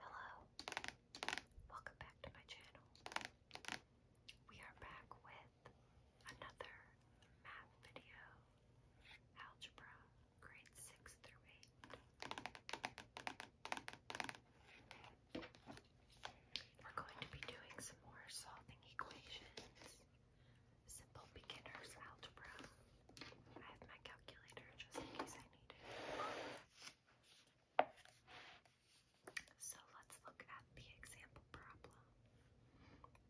Hello, welcome back to my channel. We are back with another math video, algebra, grade 6 through 8. We're going to be doing some more solving equations, simple beginner's algebra. So let's look at the example problem.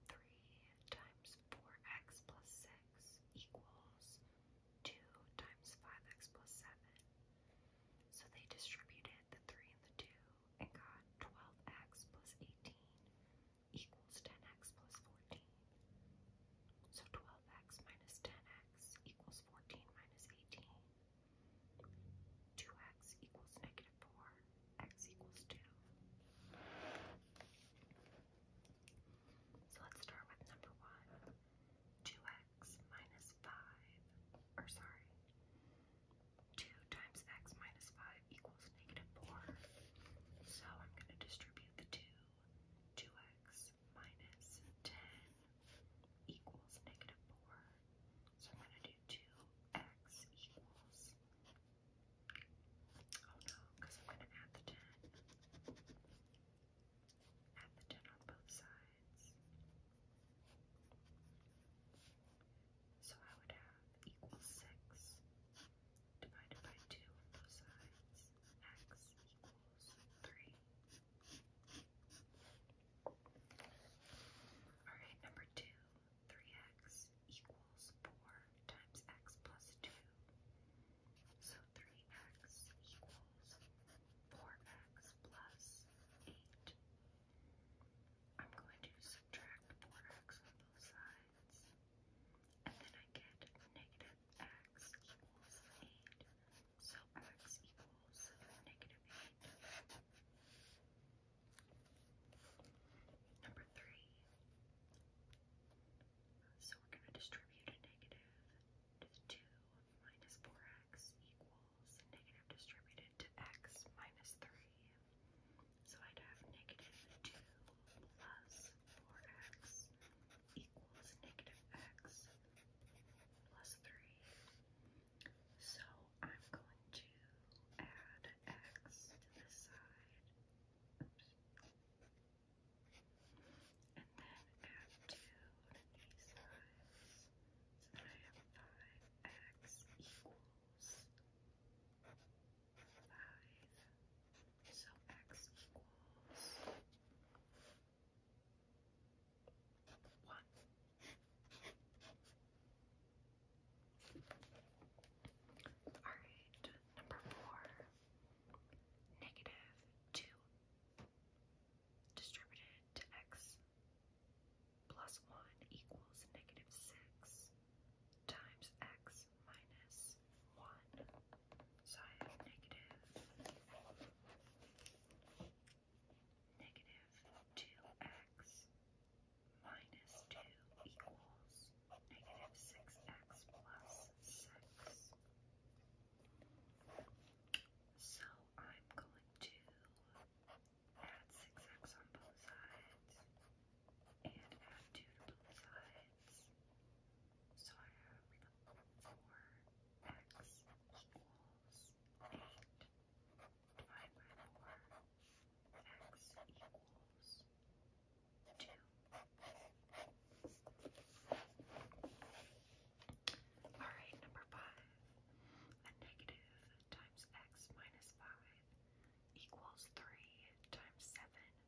3 times 4x plus 6 equals 2 times 5x plus 7. So they distributed the 3 and the 2 and got 12x plus 18 equals 10x plus 14. So 12x minus 10x equals 14 minus 18. 2x equals negative 4. x equals 2. So let's start with number 1. 2x minus 5, or sorry, 2 times x minus 5 equals negative 4. So I'm going to distribute the 2. 2x 10 equals negative 4. So I'm going to do 2x equals, oh no, because I'm going to add the 10. Add the 10 on both sides. So I would have equals 6 divided by 2 on both sides. x equals three. Alright, number two. 3x equals 4 times x plus 2. So 3x equals 4x plus 8. I'm going to subtract 4x on both sides. And then I get negative x equals 8. So x equals negative 8. Number 3. So we're going to distribute a negative to the 2 minus 4x equals negative distributed to x minus 3. So I'd have negative 2 plus 4x equals negative x plus 3. So I'm going to add x to the side. And then add 2 to these sides. So then I have 5x equals 5. So x equals one. Alright, number four, negative two distributed to x plus one equals negative six times x minus one. So I negative, negative 2x minus 2 equals negative 6x plus 6. So I'm going to add 6x on both sides and add 2 on both sides. So I have 4x equals 8 divided by 4x equals 2. Alright, number 5. A negative times x minus 5 equals 3 times 7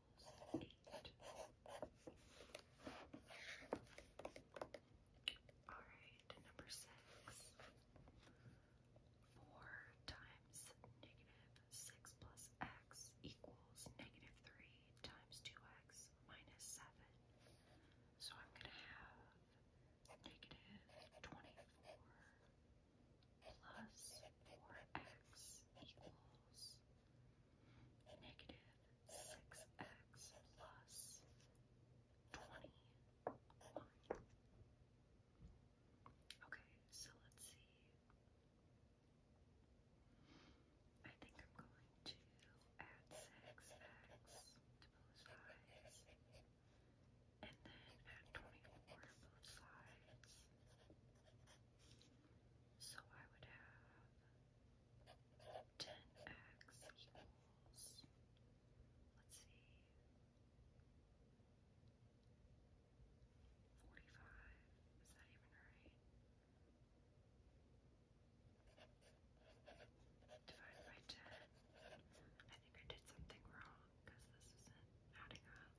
Alright, number six. Four times negative six plus x equals negative three times two x minus seven. So I'm gonna have negative twenty-four plus four x equals negative 6x plus plus twenty. Okay, so let's see. I think I'm going to add 6x to both sides, and then add 24 to both sides. So I would have 10x equals, let's see, 45. Is that even right? Divided by 10. I think I did something wrong because this isn't adding up.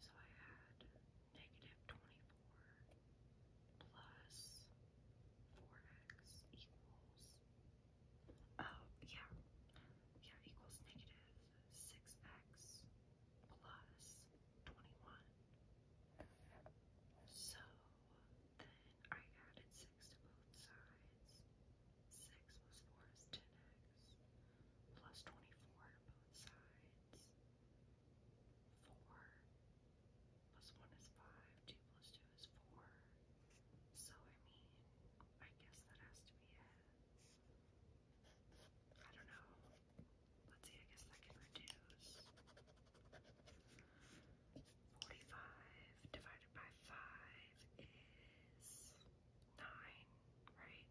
So I had 10 negative 24 plus 4x equals, oh yeah, yeah, equals negative 6x plus 21. So then I added 6 to both sides. 6 plus 4 is 10x, plus 24 to both sides 4 plus 1 is 5, 2 plus 2 is 4. So, I mean, I guess that has to be I don't know. Let's see, I guess that can reduce. 45 divided by 5 is 9, right?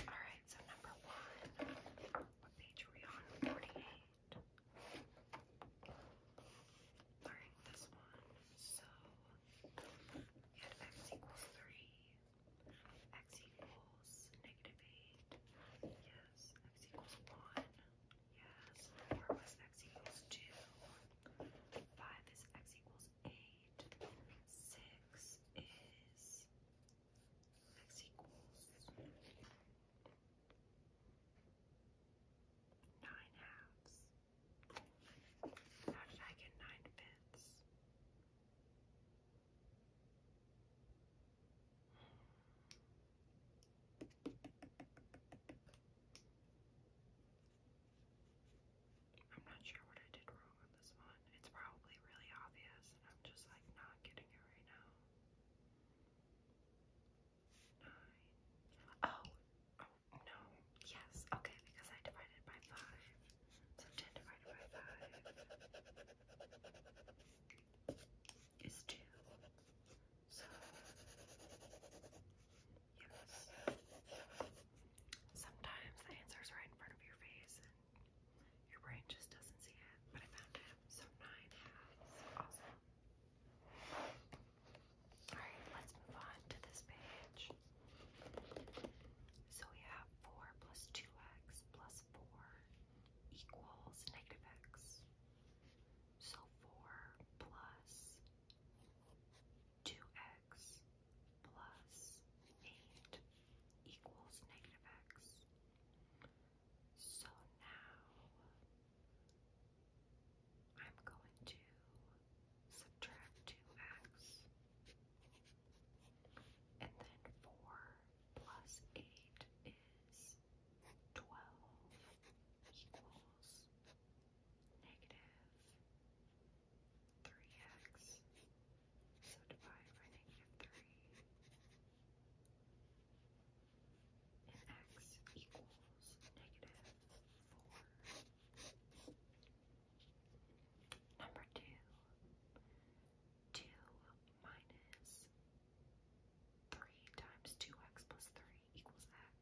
Alright, so number one. What page are we on? 48. Alright, this one. So we had x equals 3. X equals negative 8. Yes, x equals 1. Yes. Four plus x equals two. Five is x equals eight. Six is x equals nine halves. How did I get nine fifths? I I'm not sure what I did wrong on this one. It's probably really obvious, and I'm just like not getting it right now. Nine. Oh, oh no. Yes, okay, because I divided by five. So 10 divided by 5 is 2. So Sometimes the answer's right in front of your face and your brain just doesn't see it, but I found it. So nine Awesome. Alright, let's move on to this page. So we have 4 plus 2x plus 4 equals negative x. So 4 plus 2x plus 8 equals negative x. So now I'm going to subtract 2x and then 4 plus 8 is 12 equals negative 3x. So divide by negative 3. And x equals negative 4. Number 2. 2 minus 3 times 2x plus 3 equals x.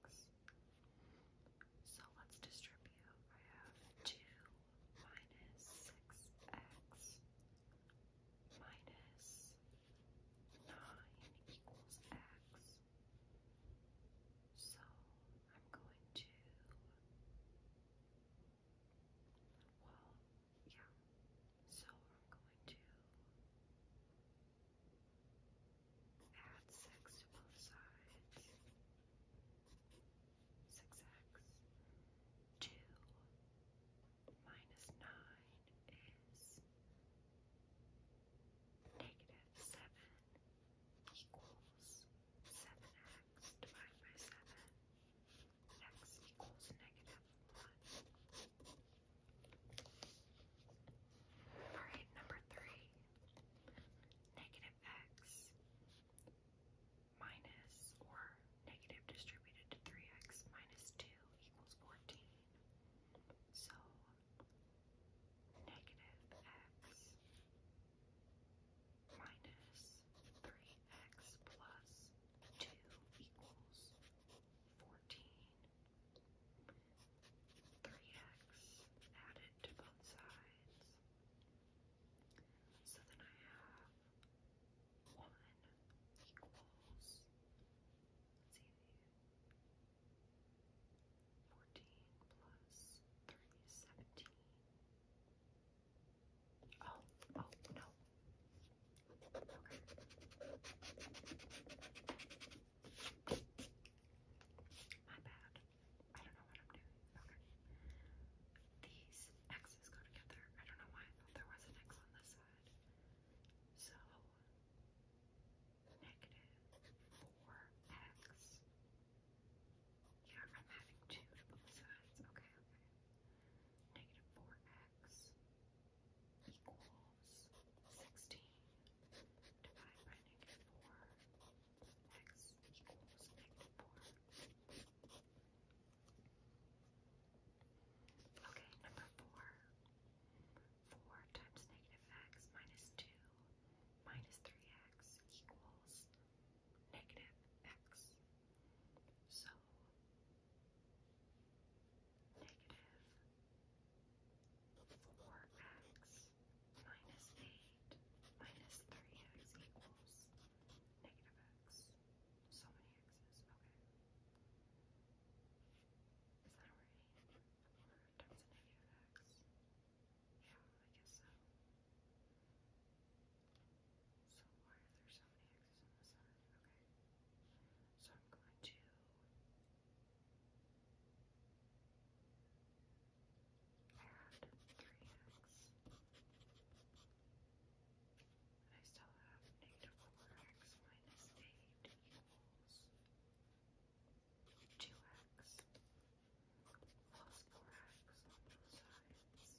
So let's distribute. I have 2 minus 6x minus 9 equals x. So I'm going to, well, yeah, so I'm going to add six to both sides, six x, two minus nine is negative seven equals seven x divided by seven, x equals negative one. Alright, number three. Negative x minus or negative distributed to 3x minus 2 equals 14. So negative x minus 3x plus 2 equals 14. 3x added to both sides. So then I have 1 equals, let's see, 14 plus 3 is 17. Oh, oh, no. Okay. My bad. I don't know what I'm doing. Okay. These X's go together. I don't know why I thought there was an X on this side. So, negative 4X. Yeah, I'm having two to both sides. Okay, okay. Negative 4X equals 16. Divide by negative 4. X equals negative 4. Okay, number 4. 4 times negative x minus 2 minus 3x equals negative x. So negative 4x minus 8 minus 3x equals negative x. So many x's. Okay. Is that right? 4 times negative x. Yeah, I guess so. So why are there so many x's in this side? Okay. So I'm going to and 3x. And I still have negative 4x minus 8 equals 2x plus 4x on both sides.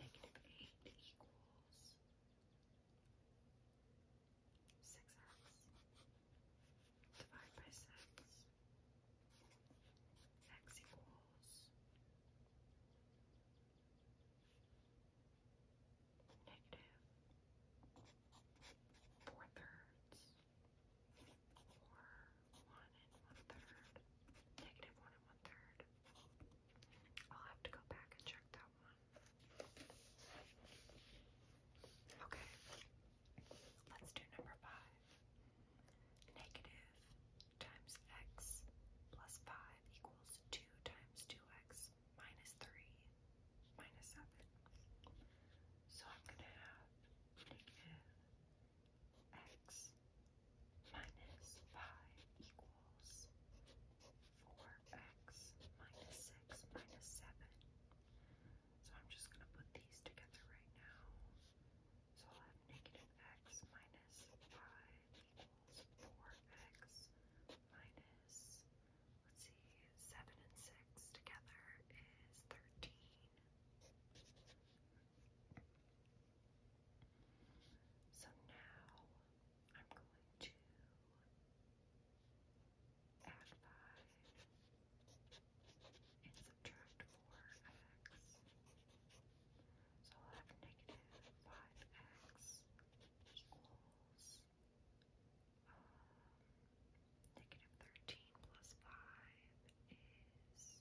Negative 8 equals 6x. divided by 6. X equals negative 4 thirds, or 1 and 1 third, negative 1 and one third. I'll have to go back and check that one. Okay, let's do number five. Negative times x plus five equals two times two x minus three minus seven. So I'm gonna have negative x minus five equals four x minus six minus seven. So I'm just going to put these together right now. So I'll have negative x minus 5 equals 4x minus, let's see, 7 and 6 together is 13. So now I'm going to add 5 and subtract 4x. So I'll have negative 5x equals um, negative 13 plus 5 is,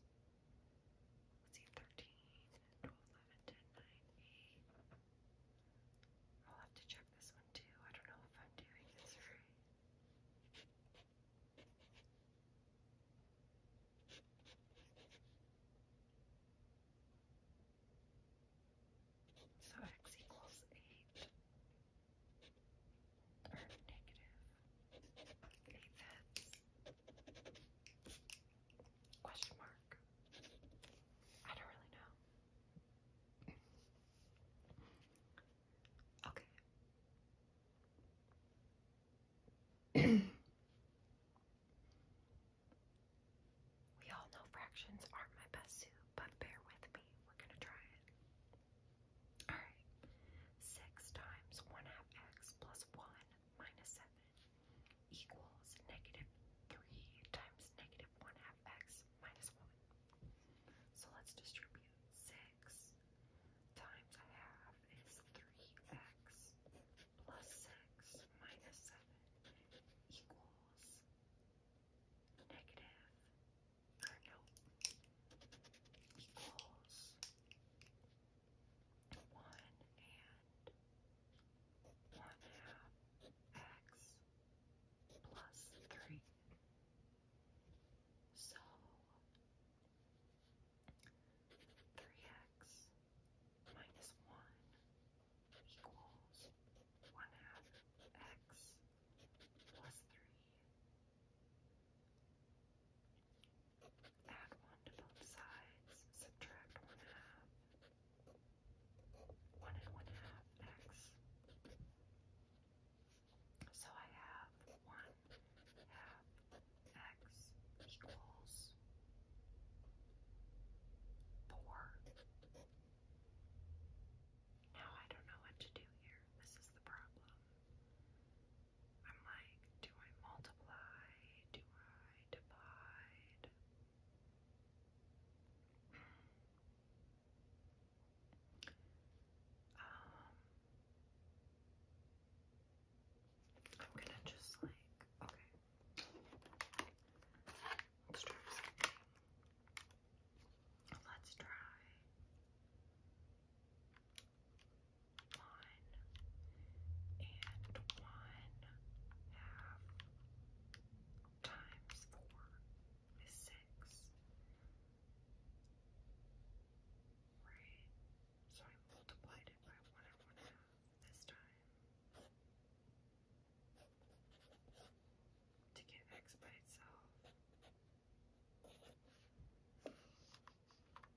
let's see, 13, 12, 11, 10, 9, 8. I'll have to check this one too. I don't know if I'm doing this right. So x equals 8, or negative 8 fifths? Question mark. I don't really know. Okay. We all know fractions aren't my best suit, but bear with me. We're gonna try it. Alright. 6 times 1 half x plus 1 minus 7 equals negative 3 times negative 1 half x minus 1. So let's distribute 6 times a half is 3x plus 6 minus 7 equals negative, no, equals 1 and 1 half x plus 3 so 3x minus 1 equals 1 half x plus 3. Add 1 to both sides, subtract 1 half. 1 and 1 half x so I have 1 half x equals 4. Now I don't know what to do here. This is the problem. I'm like, do I multiply? Do I divide? Hmm. Um, I'm gonna just like, okay. Let's try one and one half times four is six. Right? So I multiplied it by one and one half this time. To get x by itself.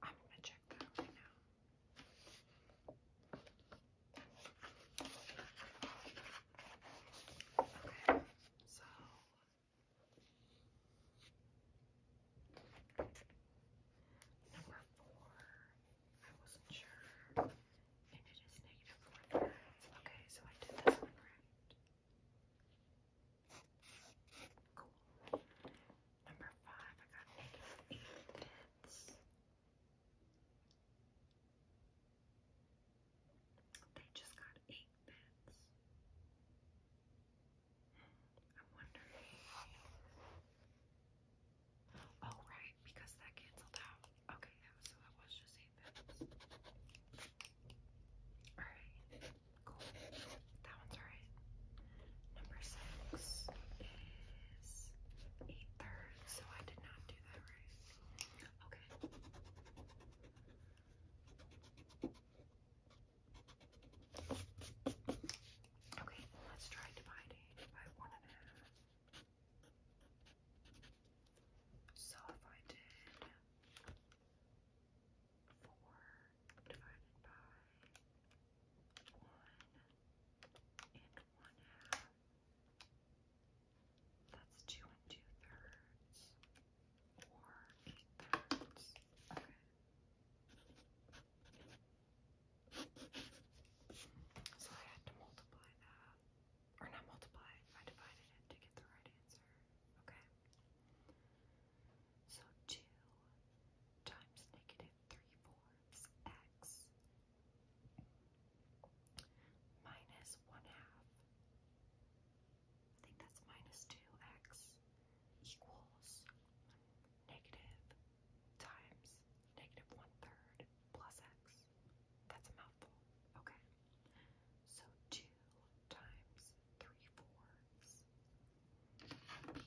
I'm gonna check that out right now. Okay, so Number four, I wasn't sure, and it is negative four thirds. Okay, so I did this one right. Cool. Number five, I got negative eight tenths. They just got eight beds. Hmm, I'm wondering. Oh, right, because that canceled out. Okay, yeah, so that was just eight beds. Alright, cool. That one's alright. Number six is eight thirds, so I did not do that right. Okay. Okay, let's try dividing by one and a half. So if I did four divided by one and one half, that's two and two thirds or eight Okay. So I had to multiply that. Or not multiply, I divided it to get the right answer. Okay. So two times negative three fourths x minus one half I think that's minus 2x equals negative times negative one third plus x. That's a mouthful. Okay. So 2 times 3 fourths 2 times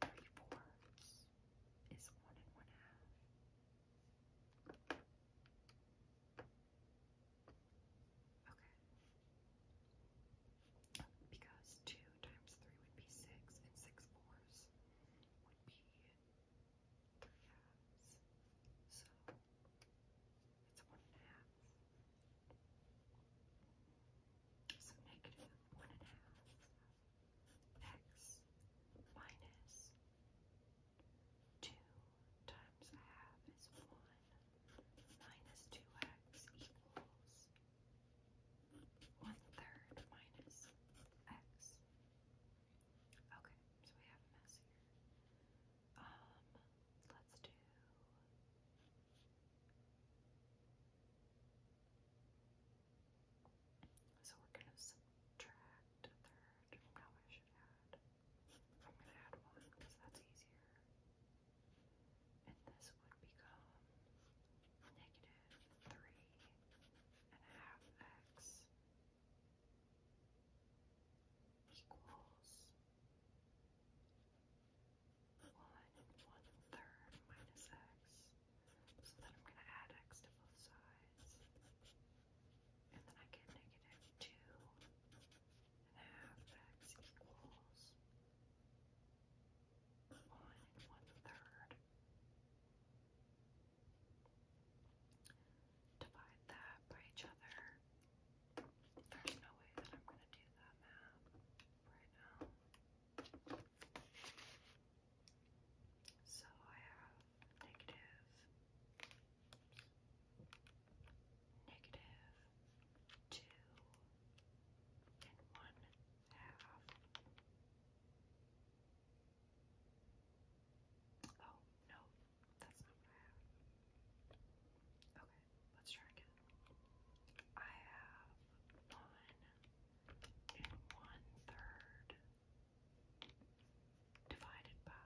three fourths is one and one half. Okay. Because two times three would be six, and six fourths would be three halves. So it's one and a half. So negative one and a half x minus 2 times a half is 1 minus 2x equals 1 third minus x. Okay, so we have a mess here. Um, let's do so we're going to subtract a third. Now I should add. I'm going to add one because that's easier. And this would become negative three and a half x equals one one third minus x. So then I'm going to add x to both sides. And then I get negative 2 and a half x equals 1 and 1 third. Divide that by each other. There's no way that I'm going to do that math right now. So I have negative, negative two and one half. Oh no, that's not what I have. Okay, let's try again. I have one and one third divided by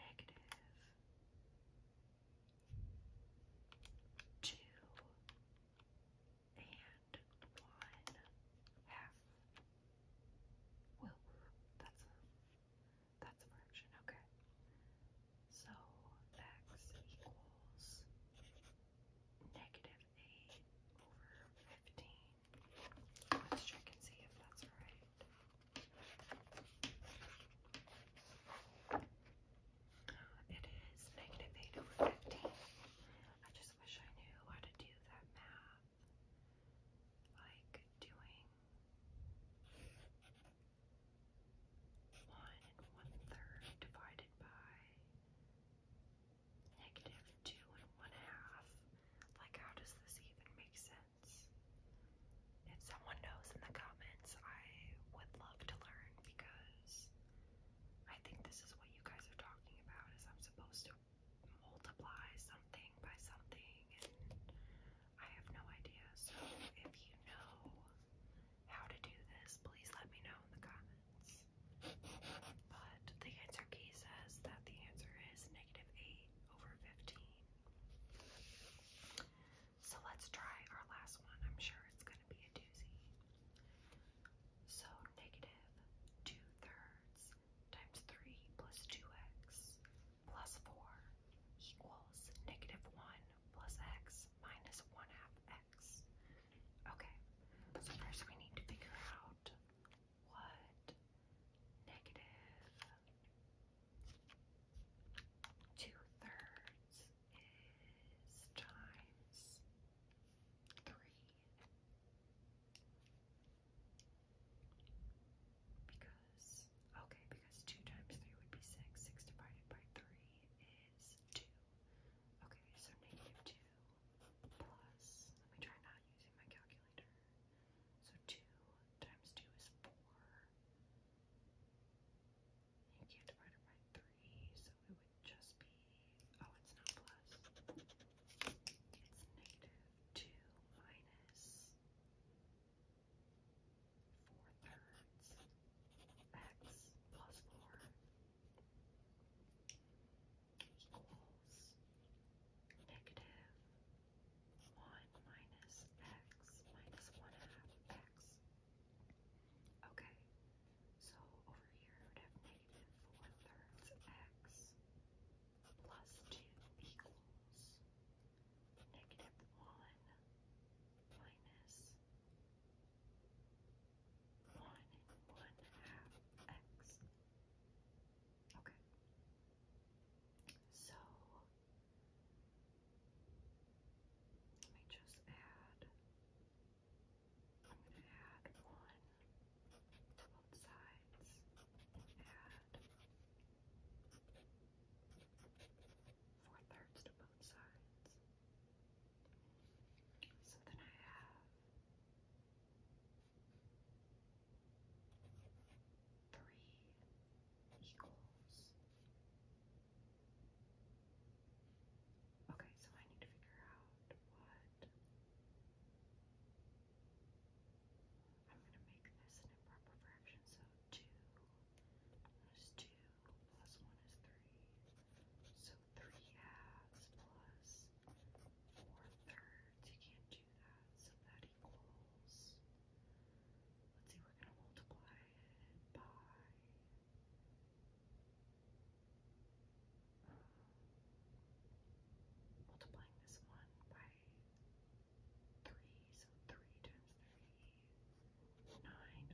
negative two and one half. Whoa, that's a that's a fraction, okay. So x equals negative have over 15. Let's check and see if that's right. It is negative 8 over 15. I just wish I knew how to do that math. Like doing one and one third divided by negative two and one half. Like, how does this even make sense? If someone knows in the comments, I would love to learn because I think this is what you guys are talking about is I'm supposed to multiply something by something and I have no idea. So if you know how to do this, please let me know in the comments. But the answer key says that the answer is negative 8 over 15. So let's try our last one. I'm sure it's going to be a doozy. So negative 2 thirds times 3 plus 2x plus 4 equals negative 1 plus x minus 1 half x. Okay, so first we need to figure out what negative two-thirds is times three. Because, okay, because 2 times 3 would be 6, 6 divided by 3 is 2. Okay, so negative 2 plus, let me try not using my calculator. So 2 times 2 is 4. You can't divide it by 3, so it would just be, oh, it's not plus. It's negative 2 minus 4 thirds x plus 4 equals negative 1 minus x minus 1 half x. Okay, so over here we would have negative 4 thirds x plus 2 equals negative 1 minus one one half x. Okay. So let me just add. I'm gonna add one to both sides. Add four thirds to both so then I have three equals. Okay, so I need to figure out what I'm going to make this an improper fraction. So two minus two plus one is three. So three halves plus four thirds. You can't do that. So that equals. Let's see, we're gonna multiply it by multiplying this one by three, so three times three, nine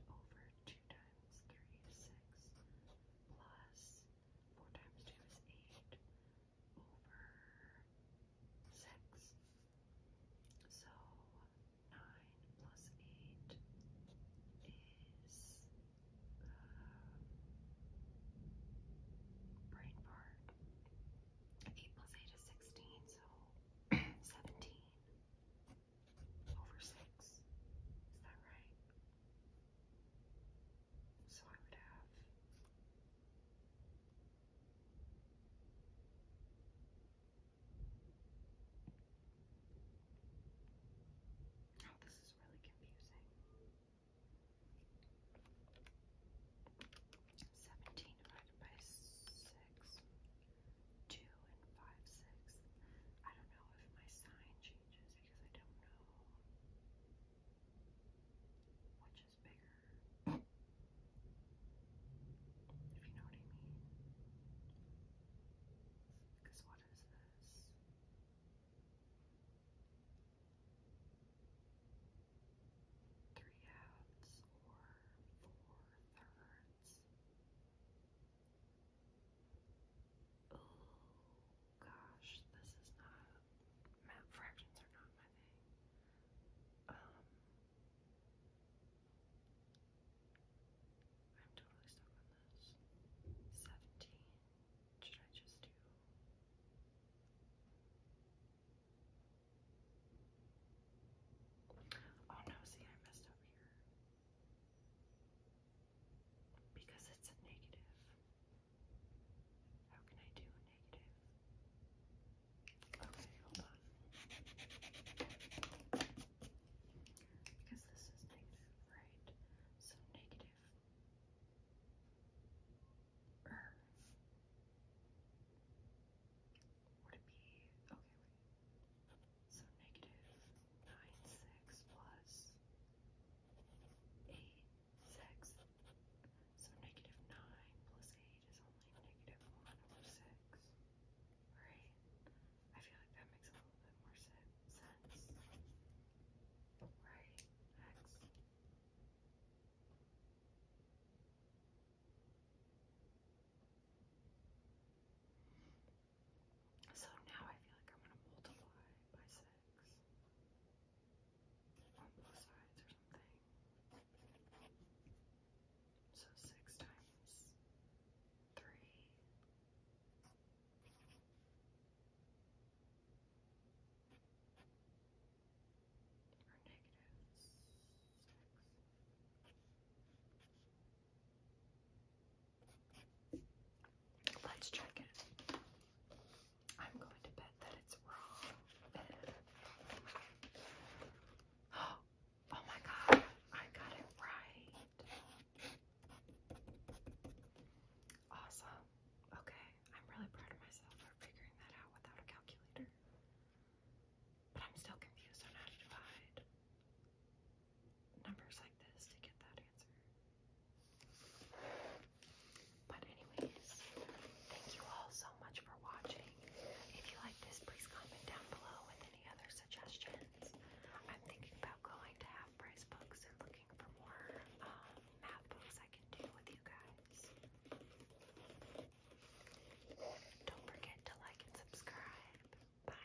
over two times times three is six, plus four times two is eight, over six. So nine plus eight is uh, brain part. Eight plus eight is sixteen, so seventeen over six. Is that right? So I would have Oh, this is really confusing. Seventeen divided by six. Two and five six. I don't know if my sign changes because I don't know which is bigger. If you know what I mean. Because what is this? Three halves or four thirds? Oh gosh, this is not map fractions are not my thing. Um I'm totally stuck on this. 17. Should I just do Oh no, see I messed up here. Because it's a negative. How can I do negative? Okay, hold on. Because this is negative, right? So negative. Er. Would it be okay? So negative nine six plus eight six. So negative nine plus eight is only negative one over six. Right? I feel like that makes a little bit more sense. Right? X. So now I feel like I'm going to multiply by 6 on both sides or something. So 6 times 3 or negative 6. Let's check it. I'm going to bet that it's wrong. Oh, my god, I got it right. Awesome. Okay, I'm really proud of myself for figuring that out without a calculator. But I'm still confused on how to divide numbers like this to get that answer. But anyways, thank you all so much for watching. If you like this, please comment down below with any other suggestions. I'm thinking about going to half price books and looking for more um, math books I can do with you guys. Don't forget to like and subscribe. Bye.